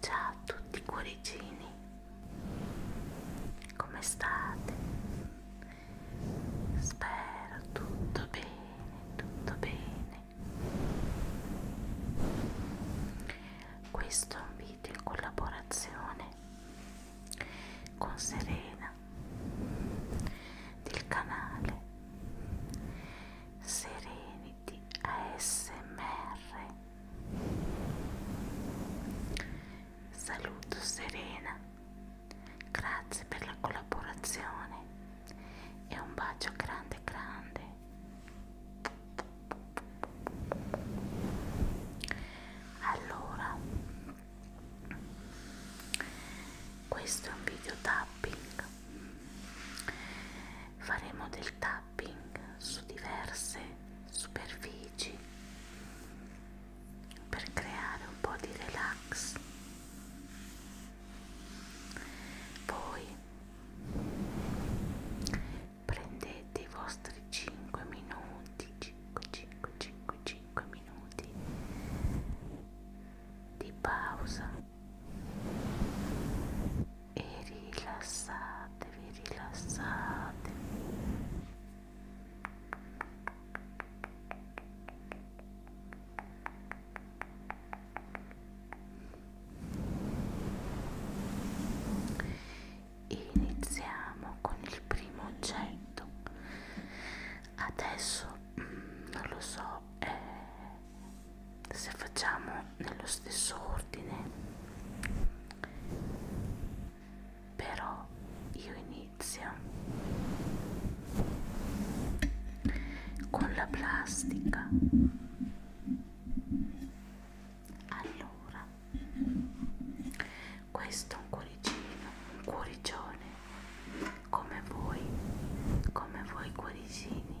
Ciao a tutti cuoricini, come state? Spero tutto bene, tutto bene. Questo è un video in collaborazione con Serena del canale Sereni Uniti ASMR. Saluto Serena, grazie per la collaborazione e un bacio grande grande. Allora, questo è un video tapping faremo del tapping su diverse superfici per creare un po' di relax poi prendete i vostri 5 minuti 5 5 5 5 minuti di pausa e rilassatevi, rilassatevi. Iniziamo con il primo oggetto. Adesso mm, non lo so, è eh, se facciamo nello stesso ordine però io inizio con la plastica allora questo è un cuoricino un cuoricione come voi come voi cuoricini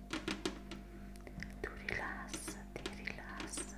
tu rilassati, rilassati Rilassati,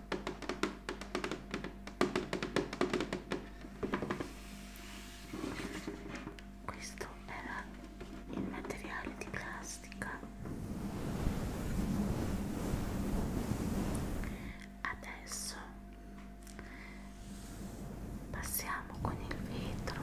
Questo era il materiale di plastica. Adesso passiamo con il vetro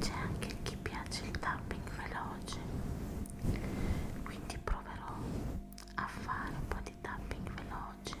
c'è anche chi piace il tapping veloce quindi proverò a fare un po' di tapping veloce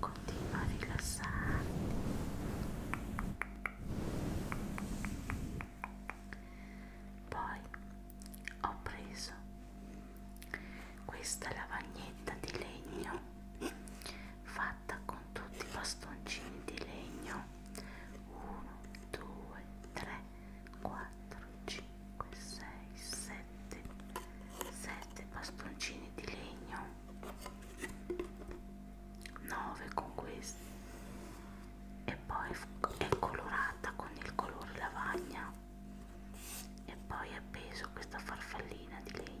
Continua a rilassarti. Poi ho preso questa lavagnetta di legno fatta fatta con tutti i bastoncini di legno 1 2 3 4 5 6 7 7 bastoncini di legno 9 con questi e poi è colorata con il colore lavagna e poi è appeso questa farfallina di legno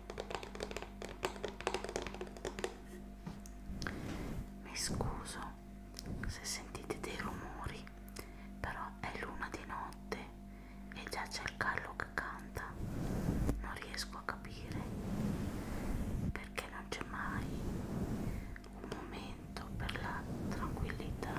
Mi scuso se sentite dei rumori, però è l'una di notte e già c'è il gallo che canta. Non riesco a capire perché non c'è mai un momento per la tranquillità.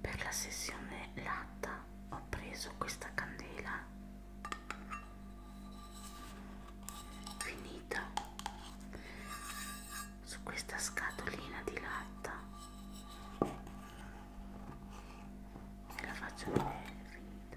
per la sessione latta ho preso questa candela finita su questa scatolina di latta e la faccio vedere finita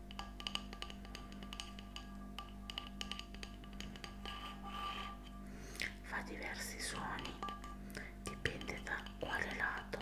fa diversi suoni dipende da quale lato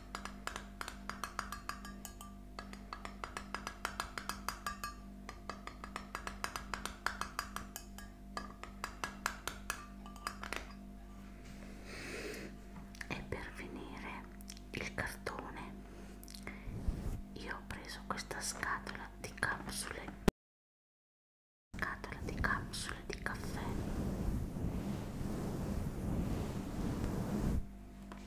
e per finire il cartone io ho preso questa scatola di capsule scatola di capsule di caffè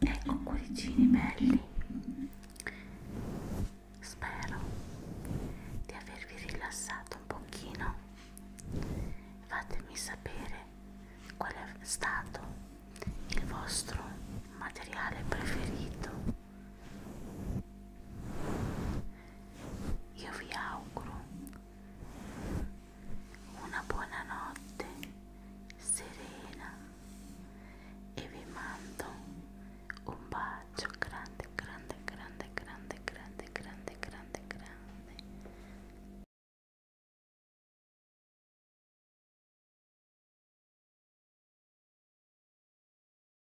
ecco cuoricini belli spero di avervi rilassato un pochino fatemi sapere qual è stato il vostro materiale preferito io vi auguro una buona notte serena e vi mando un bacio grande, grande, grande, grande, grande, grande, grande, grande.